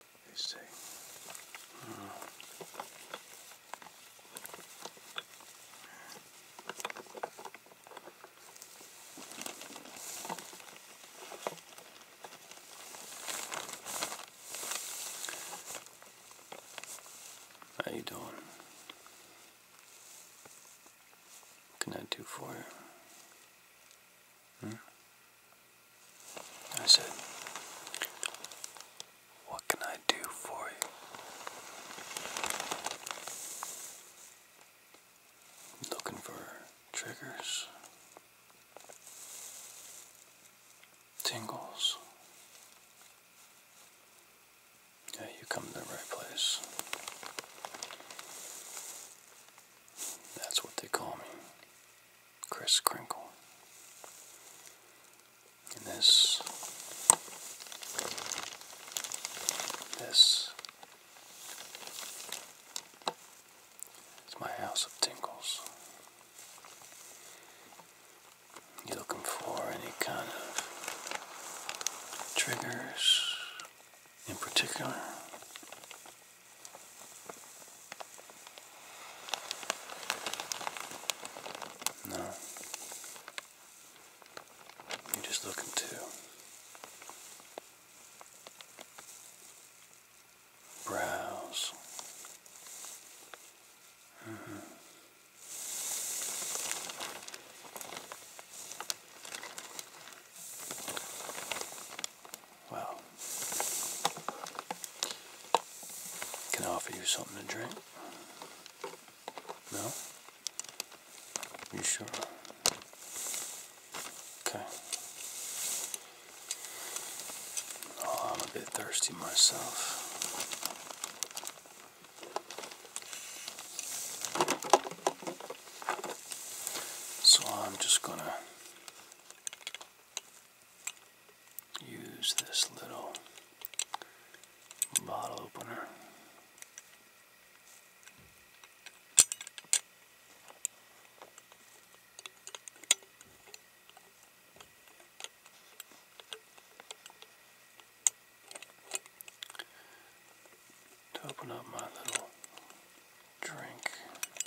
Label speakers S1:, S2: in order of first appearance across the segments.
S1: Let me see. Mm. How you doing? What can I do for you? Hmm? I said, What can I do for you? Looking for triggers, tingles. Yeah, you come to the right place. That's what they call me. Chris Crinkle. And this, this is my house of tinkles. You looking for any kind of triggers in particular? No. You're just looking to browse. Mm -hmm. Well, can I offer you something to drink? No? You sure? Okay. Oh, I'm a bit thirsty myself. So I'm just gonna use this little bottle opener. To open up my little drink.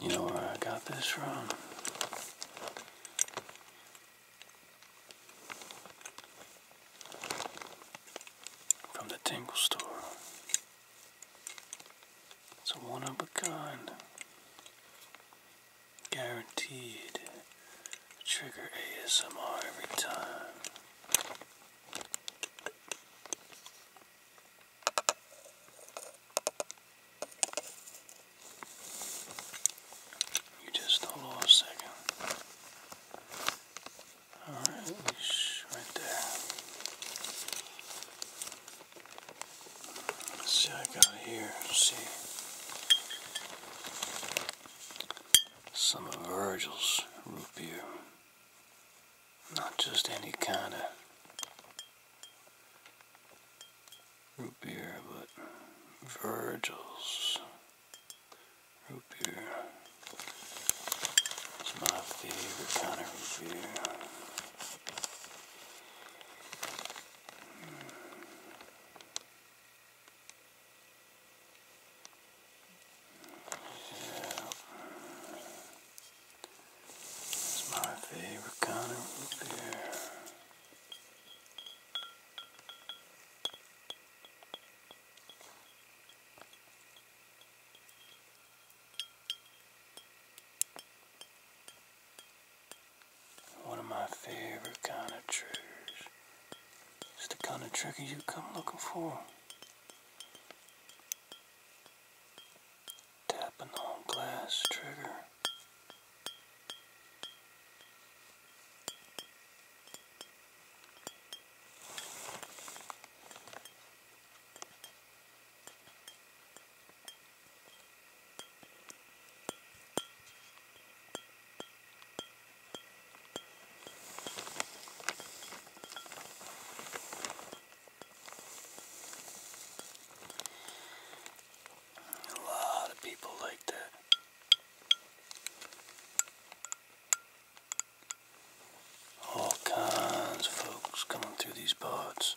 S1: You know where I got this from? From the Tingle Store. It's a one of a kind. Guaranteed trigger ASMR every time. You just hold on a second. Alright, right there. Let's see I got here. see some of Virgil's root beer. Not just any kind of root beer, but Virgil's root beer. It's my favorite kind of root beer. It's my favorite kind of beer. One of my favorite kind of triggers. It's the kind of trigger you come looking for. Tapping on glass trigger. A lot of people like that. All kinds of folks coming through these pods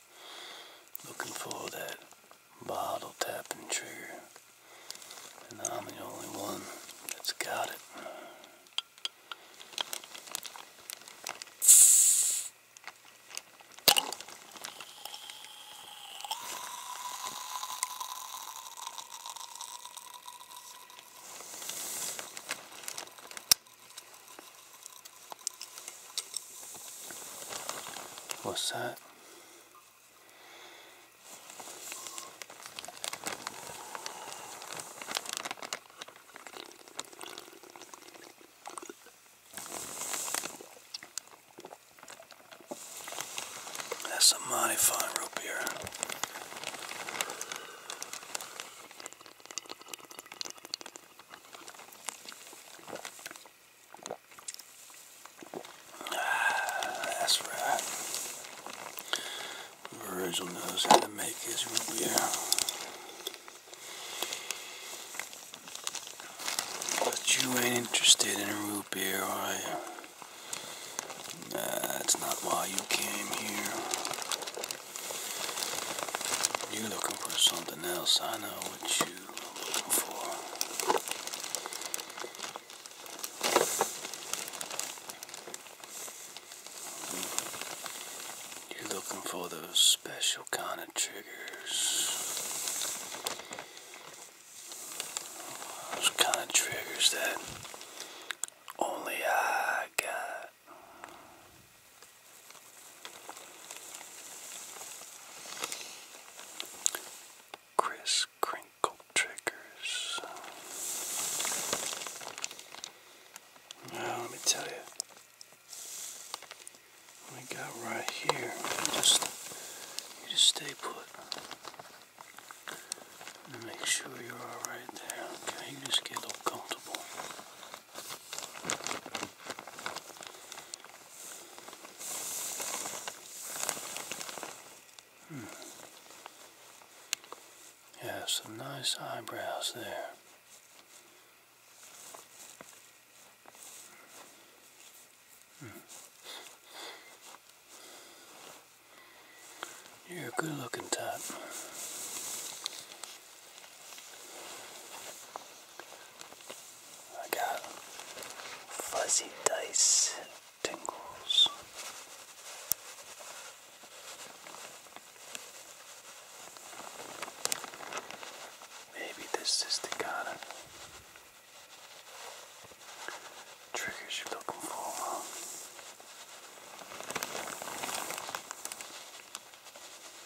S1: looking for that bottle tapping trigger. And I'm the only one that's got it. What's that? That's a mighty fine root beer that's right. Virgil knows how to make his root beer. But you ain't interested in root beer, are you? that's not why you came here. You're looking for something else, I know you are looking for. You're looking for those special kind of triggers. Those kind of triggers that only I got. Chris Crinkle Triggers. Now, let me tell you, we got right here. You just, just stay put. And make sure you're all right there. Okay, you just get a little comfortable. Hmm. You have some nice eyebrows there. Hmm. You're a good looking type. I got fuzzy dice tingles. Maybe this is the kind of triggers you're looking for,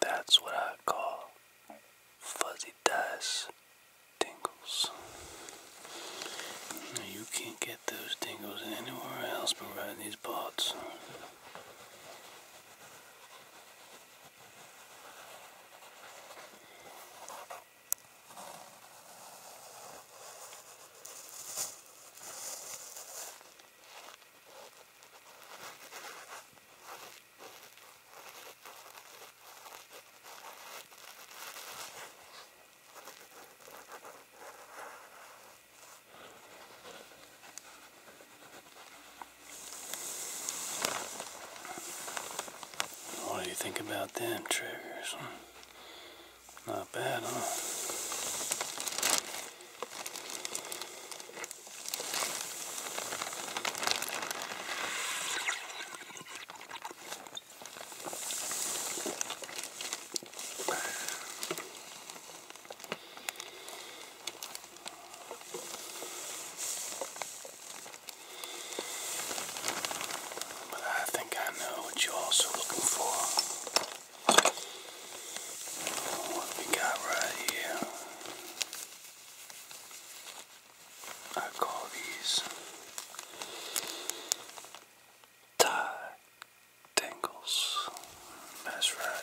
S1: That's what I call fuzzy dice tingles. You can't get those tingles anywhere else but right these parts. What do you think about them triggers? Not bad, huh? but I think I know what you're also looking for. What we got right here. I call these tangles. That's right.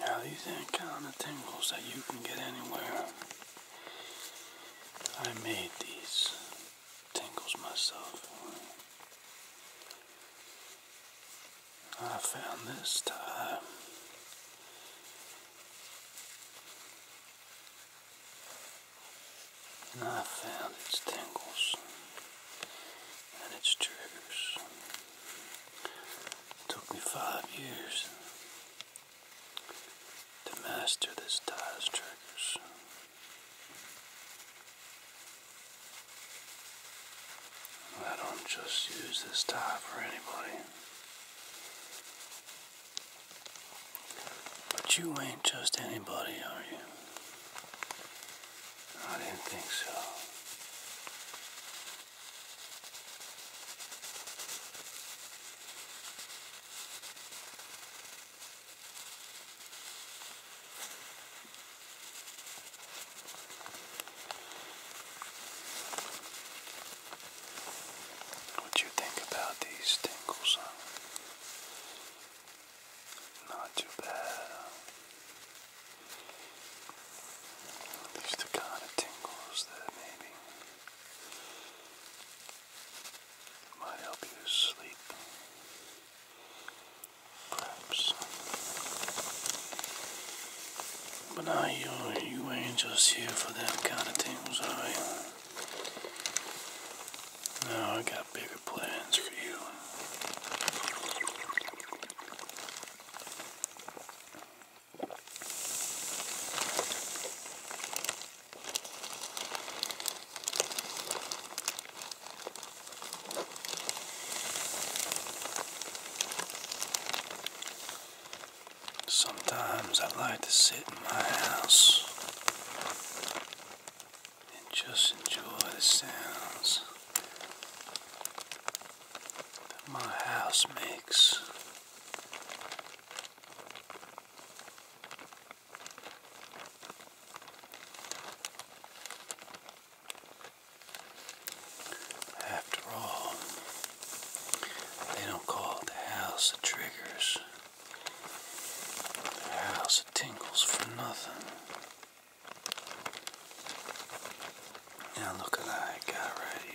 S1: Now these ain't kind of tingles that you can get anywhere. I made these tingles myself. I found this time. And I found its tingles and its triggers. took me five years to master this tie's triggers. I don't just use this tie for anybody. But you ain't just anybody, are you? I didn't think so. What you think about these tingles? Not too bad. These the kind of tingles that maybe might help you sleep. But now you, you ain't here for that kind of things, are you? I got bigger plans for you. Sometimes I like to sit in my house and just enjoy the sounds that my house makes. After all, they don't call the house that triggers, the house tingles for nothing. Now look what I got right here.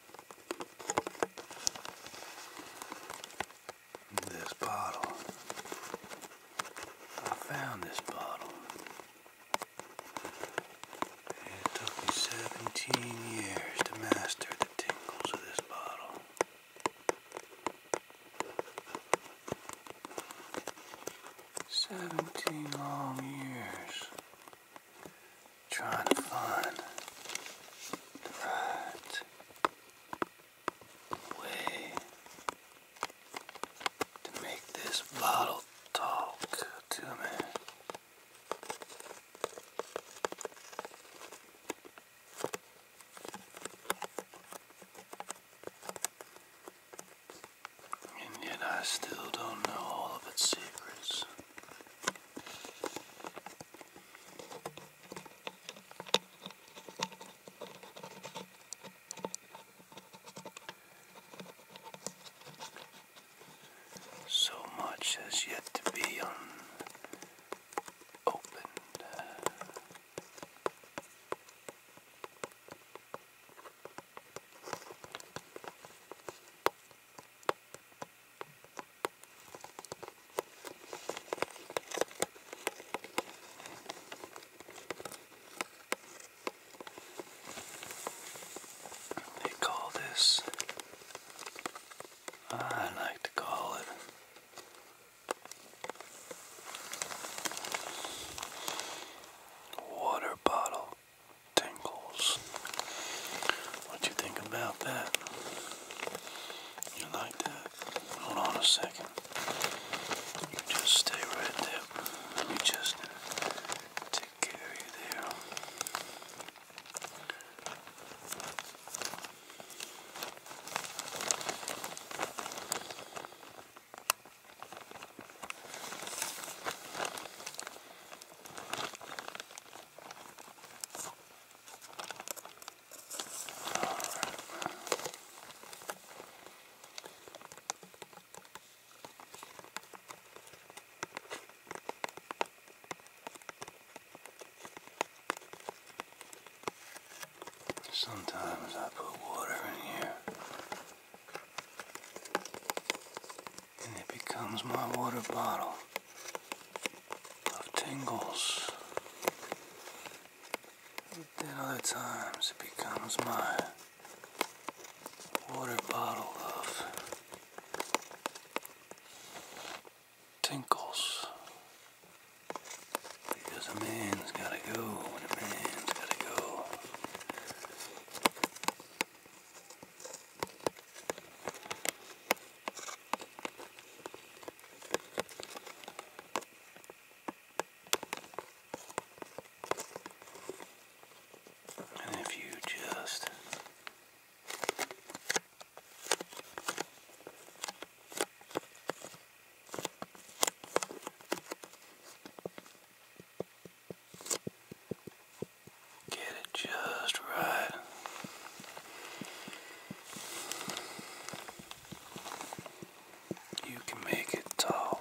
S1: This bottle. I found this bottle. It took me 17 years to master the tingles of this bottle. Seventeen long years trying to find the right way to make this bottle talk to me. And yet I still don't know all of its secrets. So much has yet to be unopened. They call this, I like to call it water bottle tingles. What you think about that? You like that? Hold on a second. You just stay right there. Let me just take care of you there. Sometimes I put water in here and it becomes my water bottle of tingles. Then other times it becomes my water bottle of tinkles. Because a man's gotta go a man's gotta go. And if you just Get it just right. You can make it talk.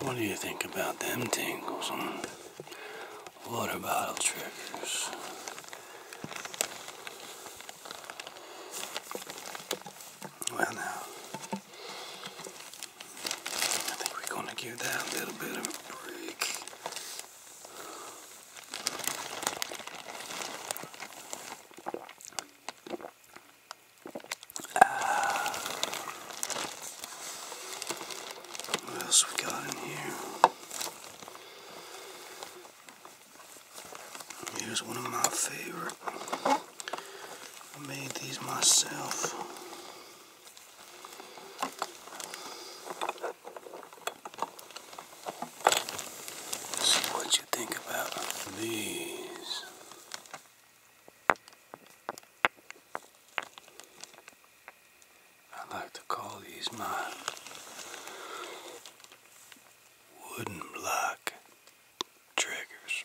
S1: What do you think about them tangles on water bottle triggers? Well, now, I think we're going to give that a little bit of a break. Uh, what else we got in here? Here's one of my favorite. I made these myself. see what you think about these. I like to call these my wooden block triggers.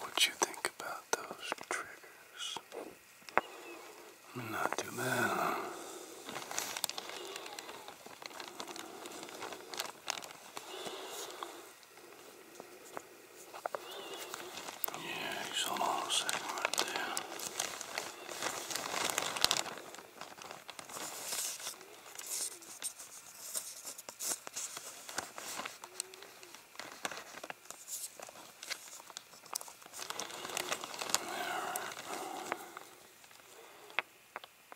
S1: What you think about those triggers? Not too bad. Huh? Yeah, you saw my little segment right there. There.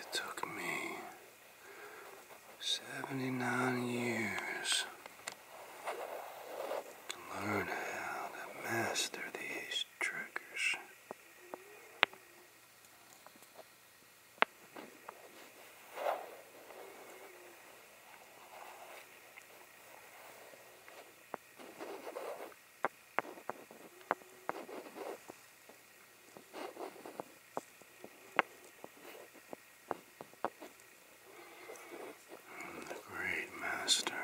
S1: It took me 79 years to learn how to master these triggers. The great master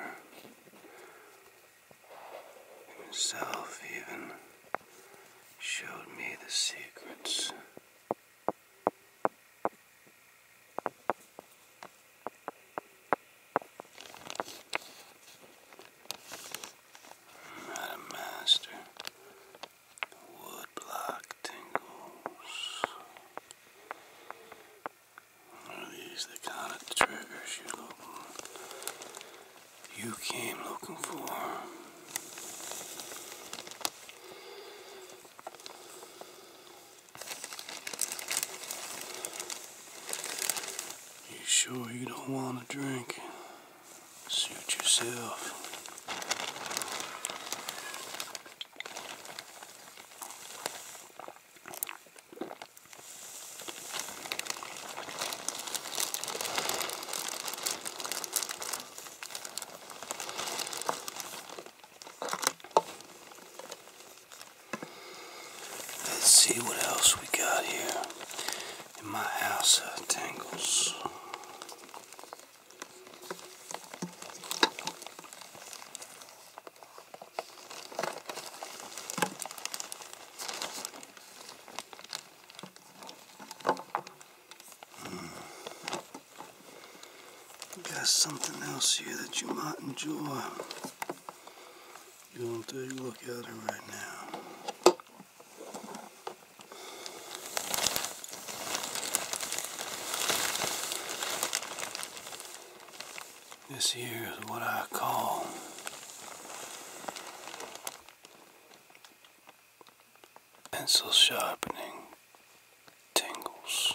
S1: himself even showed me the secrets Madam Master, wood block tingles. One of these that kind of triggers you look you came looking for. You sure you don't want to drink? Suit yourself. Let's see what else we got here in my house uh, tangles. Hmm. Got something else here that you might enjoy. You're going to take a look at it right now. This here is what I call pencil sharpening tingles.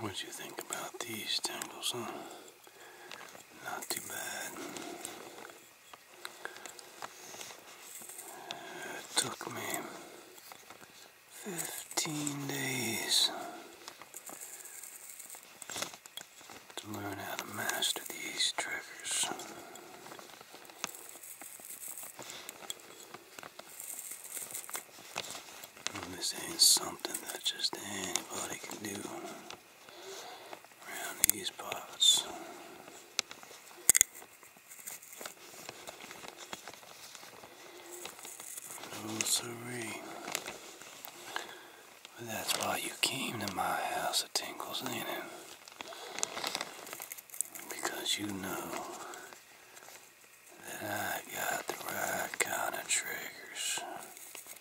S1: What do you think about these tangles, huh? Not too bad. It took me 15 days to learn how to master these triggers. This ain't something that just anybody can do around these parts. No siree. But that's why you came to my house of Tinkles, ain't it? Because you know that I got the right kind of triggers.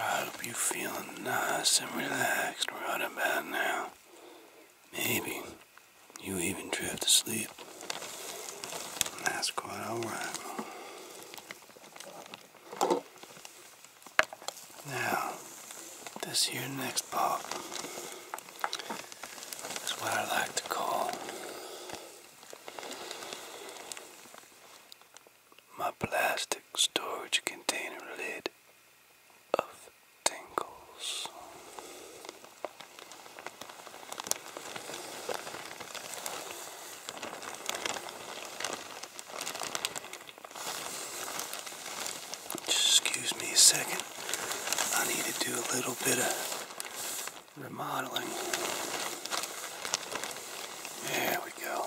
S1: I hope you are feeling nice and relaxed right about now. Maybe you even drift to sleep. That's quite alright. Now, this here next part is what I like to call my plastic storage container lid of tingles. Excuse me a second. I need to do a little bit of remodeling. There we go.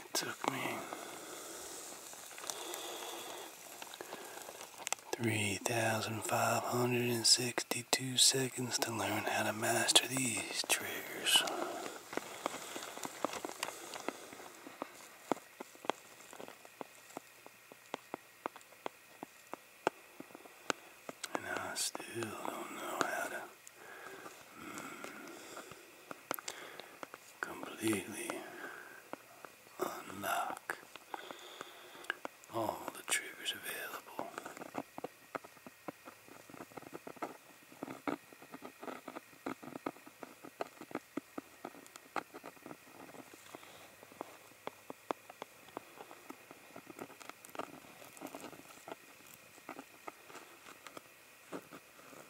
S1: It took me three thousand five hundred and sixty two seconds to learn how to master these triggers. And I still don't know how to completely unlock all the triggers available.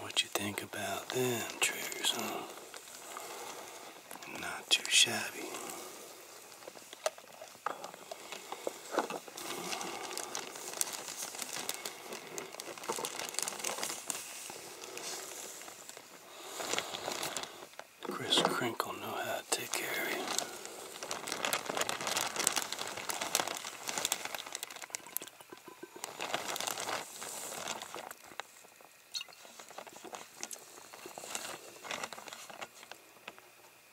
S1: What you think about them triggers, huh? Not too shabby. Chris Crinkle know how to take care of you.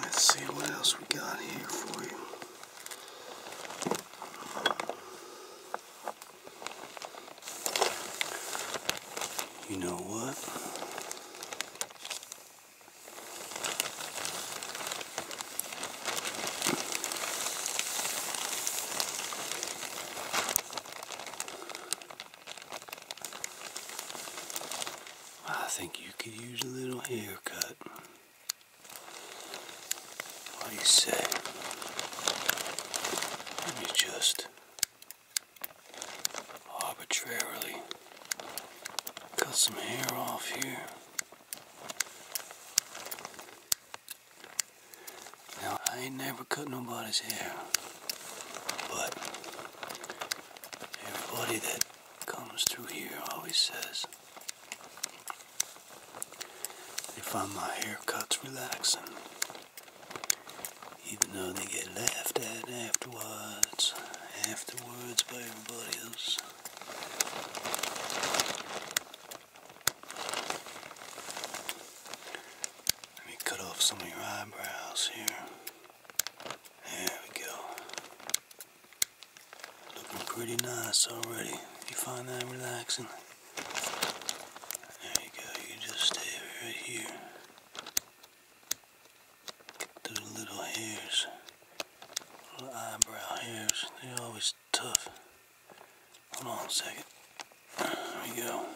S1: Let's see what else we got here for you. You know what? I think you could use a little haircut. What do you say? Let me just arbitrarily cut some hair off here. Now, I ain't never cut nobody's hair, but everybody that comes through here always says they find my haircuts relaxing, even though they get laughed at afterwards, afterwards by everybody else. Let me cut off some of your eyebrows here. There we go. Looking pretty nice already. You find that relaxing? There you go. You just stay right here. Get those little hairs. Little eyebrow hairs. They're always tough. Hold on a second. There you go.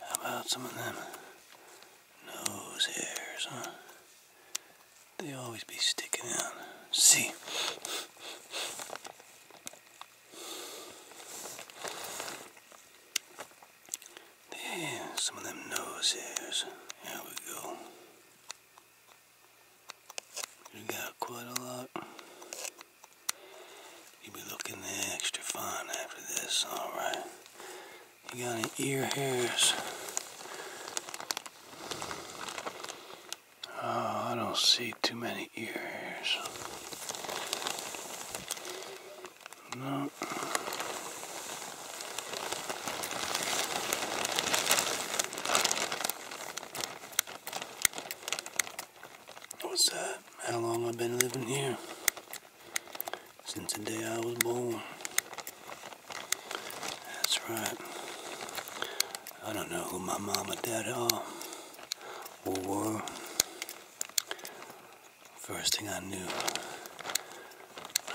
S1: How about some of them nose hairs, huh? They always be sticking out. See? Yeah, some of them nose hairs. There we go. You got quite a lot. You'll be looking extra fine after this, alright? You got any ear hairs? Oh, I don't see too many ears. No. What's that? How long I've been living here? Since the day I was born. That's right. I don't know who my mom and dad are or were. First thing I knew,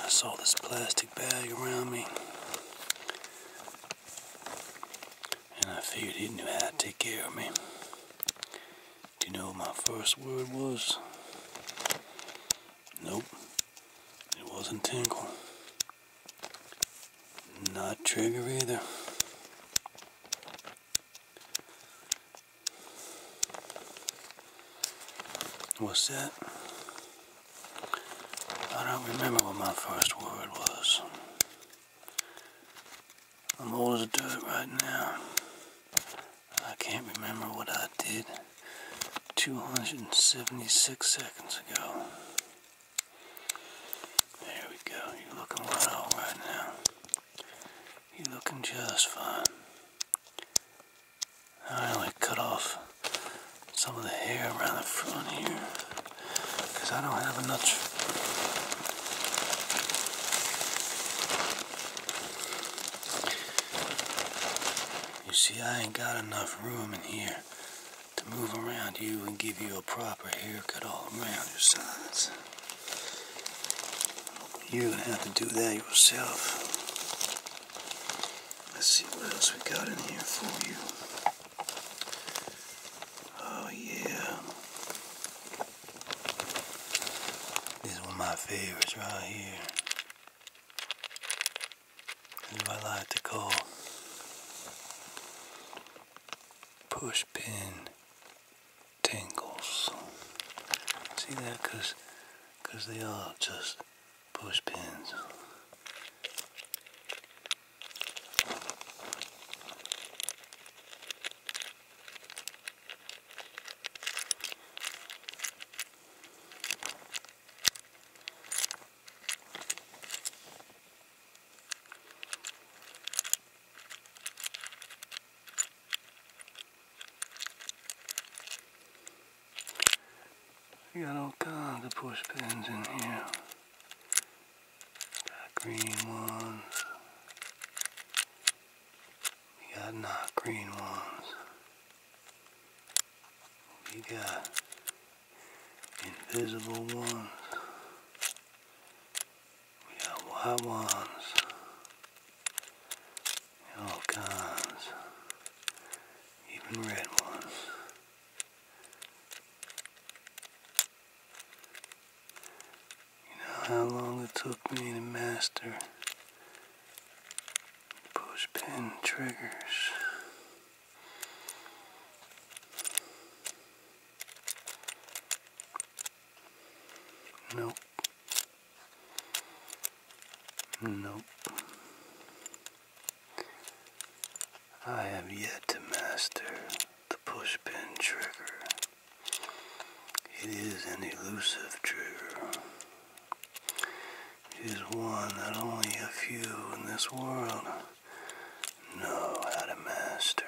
S1: I saw this plastic bag around me. And I figured he knew how to take care of me. Do you know what my first word was? Nope. It wasn't tingle. Not trigger either. What's that? I don't remember what my first word was. I'm old as dirt right now. I can't remember what I did 276 seconds ago. There we go. You're looking right now. You're looking just fine. I only cut off some of the hair around the front here because I don't have enough you see, I ain't got enough room in here to move around you and give you a proper haircut all around your sides. You're going have to do that yourself. Let's see what else we got in here for you. Oh yeah. This is one of my favorites right here. This I like to call pushpin tingles. See that? they are just pushpins. We got all kinds of push pins in here. Got green ones. We got not green ones. We got invisible ones. We got white ones. And all kinds. Even red ones. You know how long it took me to master push pin triggers. Nope. Nope. I have yet to master the push pin trigger. It is an elusive trigger. It is one that only a few in this world know how to master.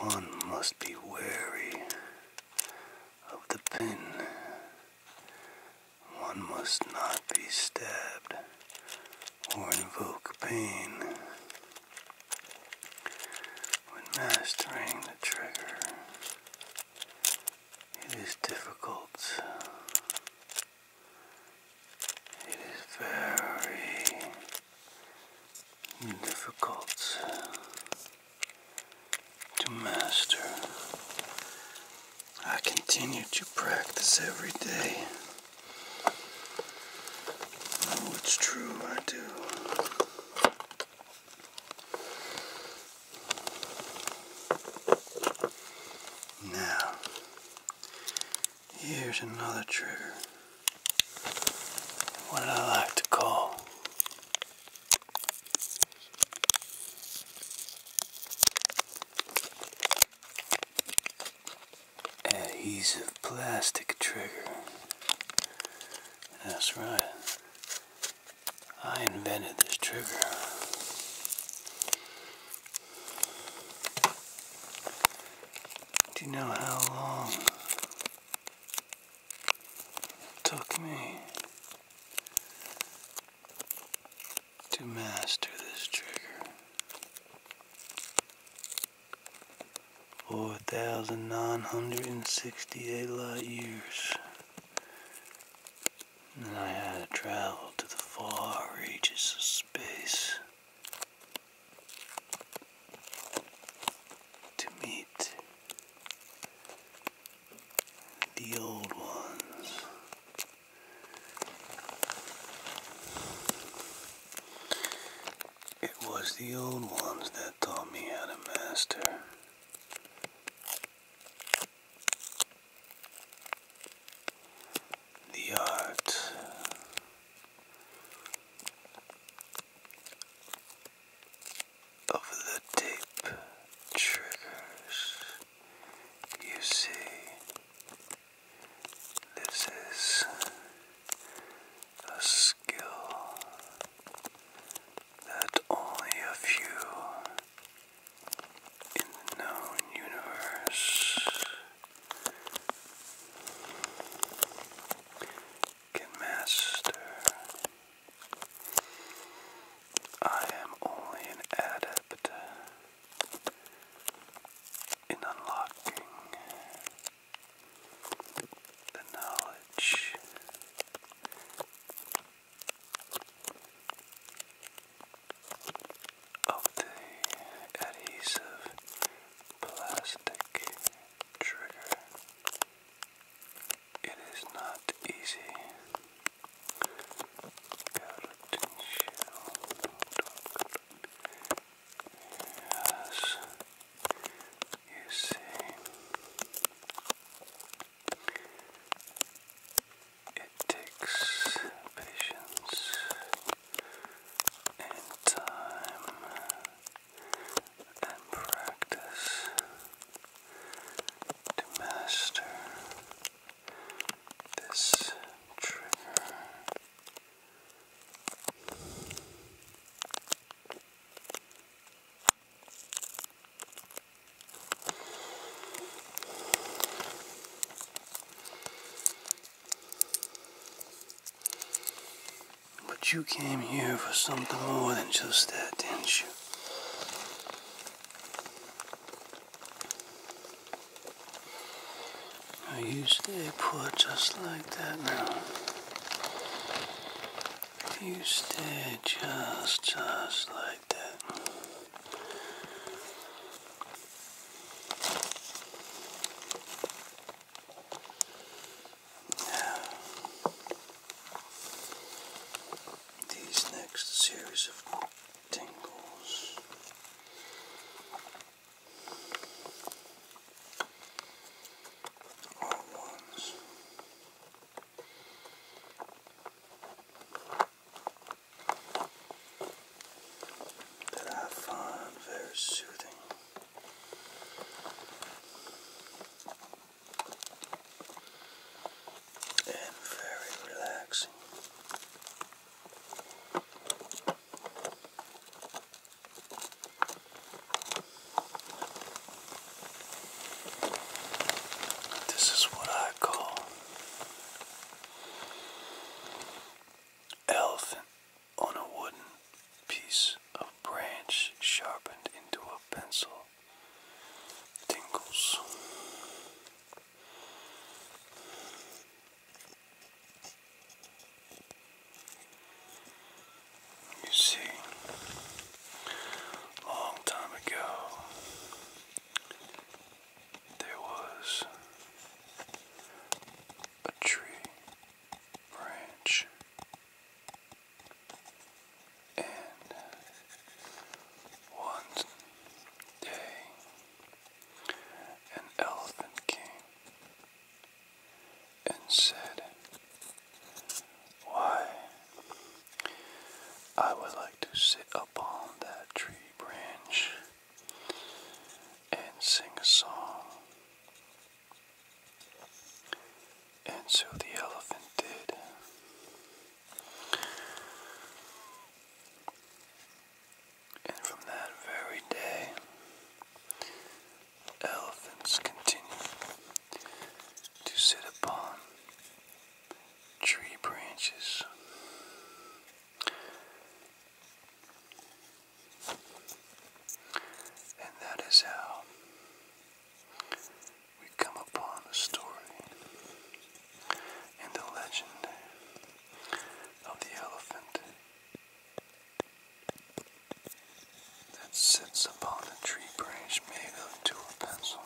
S1: One must be wary of the pin. One must not be stabbed or invoke pain. When mastering the trigger, it is difficult. It is very difficult to master. I continue to practice every day. Oh, it's true, I do. Now, here's another trigger. What I like to call adhesive plastic trigger. That's right. I invented this trigger. Do you know how long it took me to master this trigger? 4,968 light years. And I had to travel to the far reaches of space to meet the old ones. It was the old ones that taught me how to master. The art of the tape triggers. You see, this is a skill that only a few in the known universe can master. I am only an adept in unlocking the knowledge of the adhesive plastic trigger. It is not easy. Yes. You see, it takes patience and time and practice to master this trigger. But you came here for something more than just that, didn't you? Now you stay put just like that now. You stay just, just like that. these next series of tingles are ones that I find very soothing. And very relaxing. This is what I call elephant on a wooden piece of branch sharpened into a pencil tingles. You see, long time ago, there was a tree branch, and one day an elephant came and said, Why, I would like to sit upon that tree branch and sing a song. And so the elephant did. And from that very day, elephants continue to sit upon tree branches. And that is how we come upon a story and the legend of the elephant that sits upon a tree branch made of two pencils.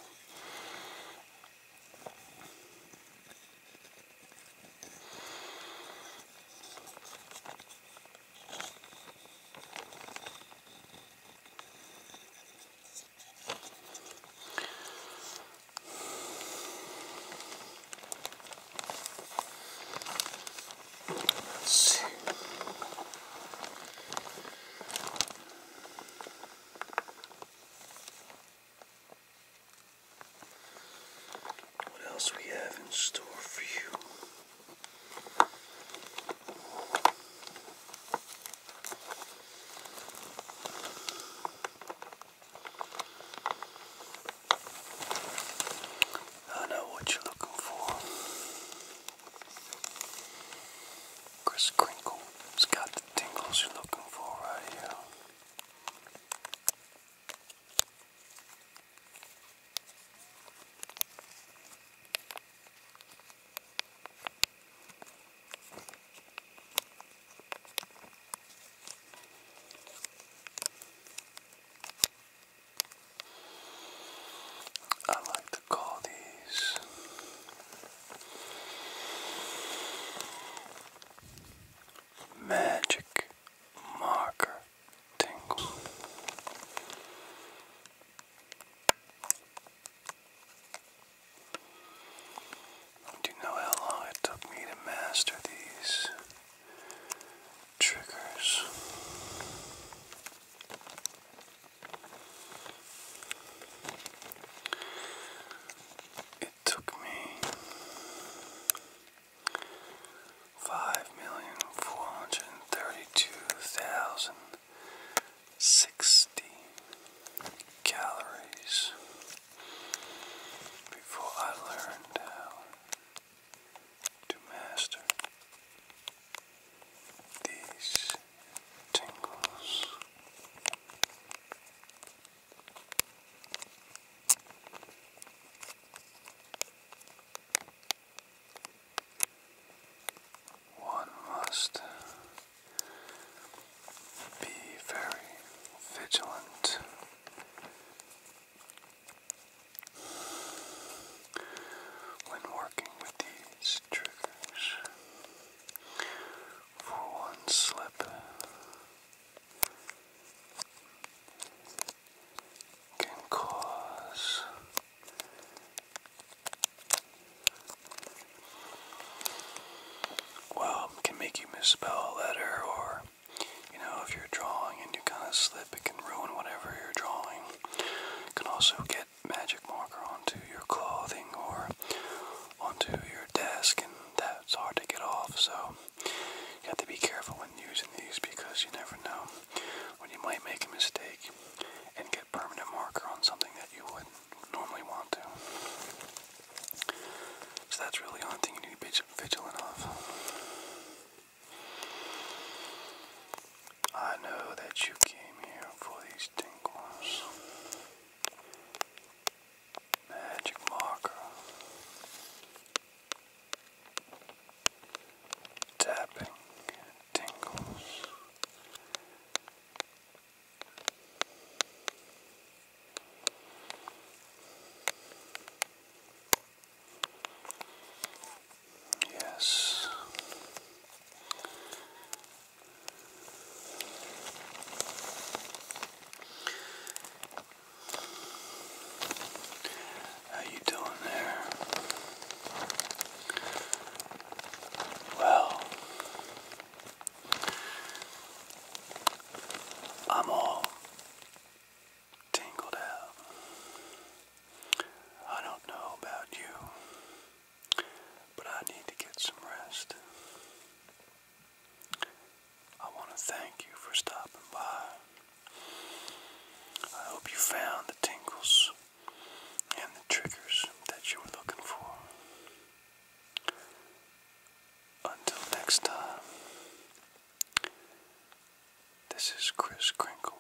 S1: Let's see. What else we have in store for you? I know what you're looking for. Chris Crinkle's got the tingles you're looking for right here. I like to call these magic marker tingle. Do you know how long it took me to master these? triggers. It took me five million four hundred and thirty two thousand sixty calories before I learned how to master these tingles. One must be very vigilant when working with these triggers for one slip can cause well can make you misspell a letter or you know if you're drawing and you kind of slip it can ruin whatever you're drawing you can also get magic marker onto your clothing or onto your desk, and that's hard to get off. So you have to be careful when using these because you never know when you might make a mistake and get permanent marker on something that you wouldn't normally want to. So that's really the thing you need to be vigilant of. I know that you came here for these tingles. Magic marker. Tapping tingles. Yes. How you doing there? Well, I'm all tingled out. I don't know about you, but I need to get some rest. I want to thank you for stopping by. I hope you found the tingles and the triggers that you were looking for. Until next time, this is Chris Crinkle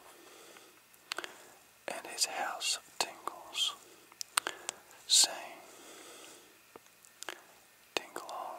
S1: and his house tingles, saying, Tingle on.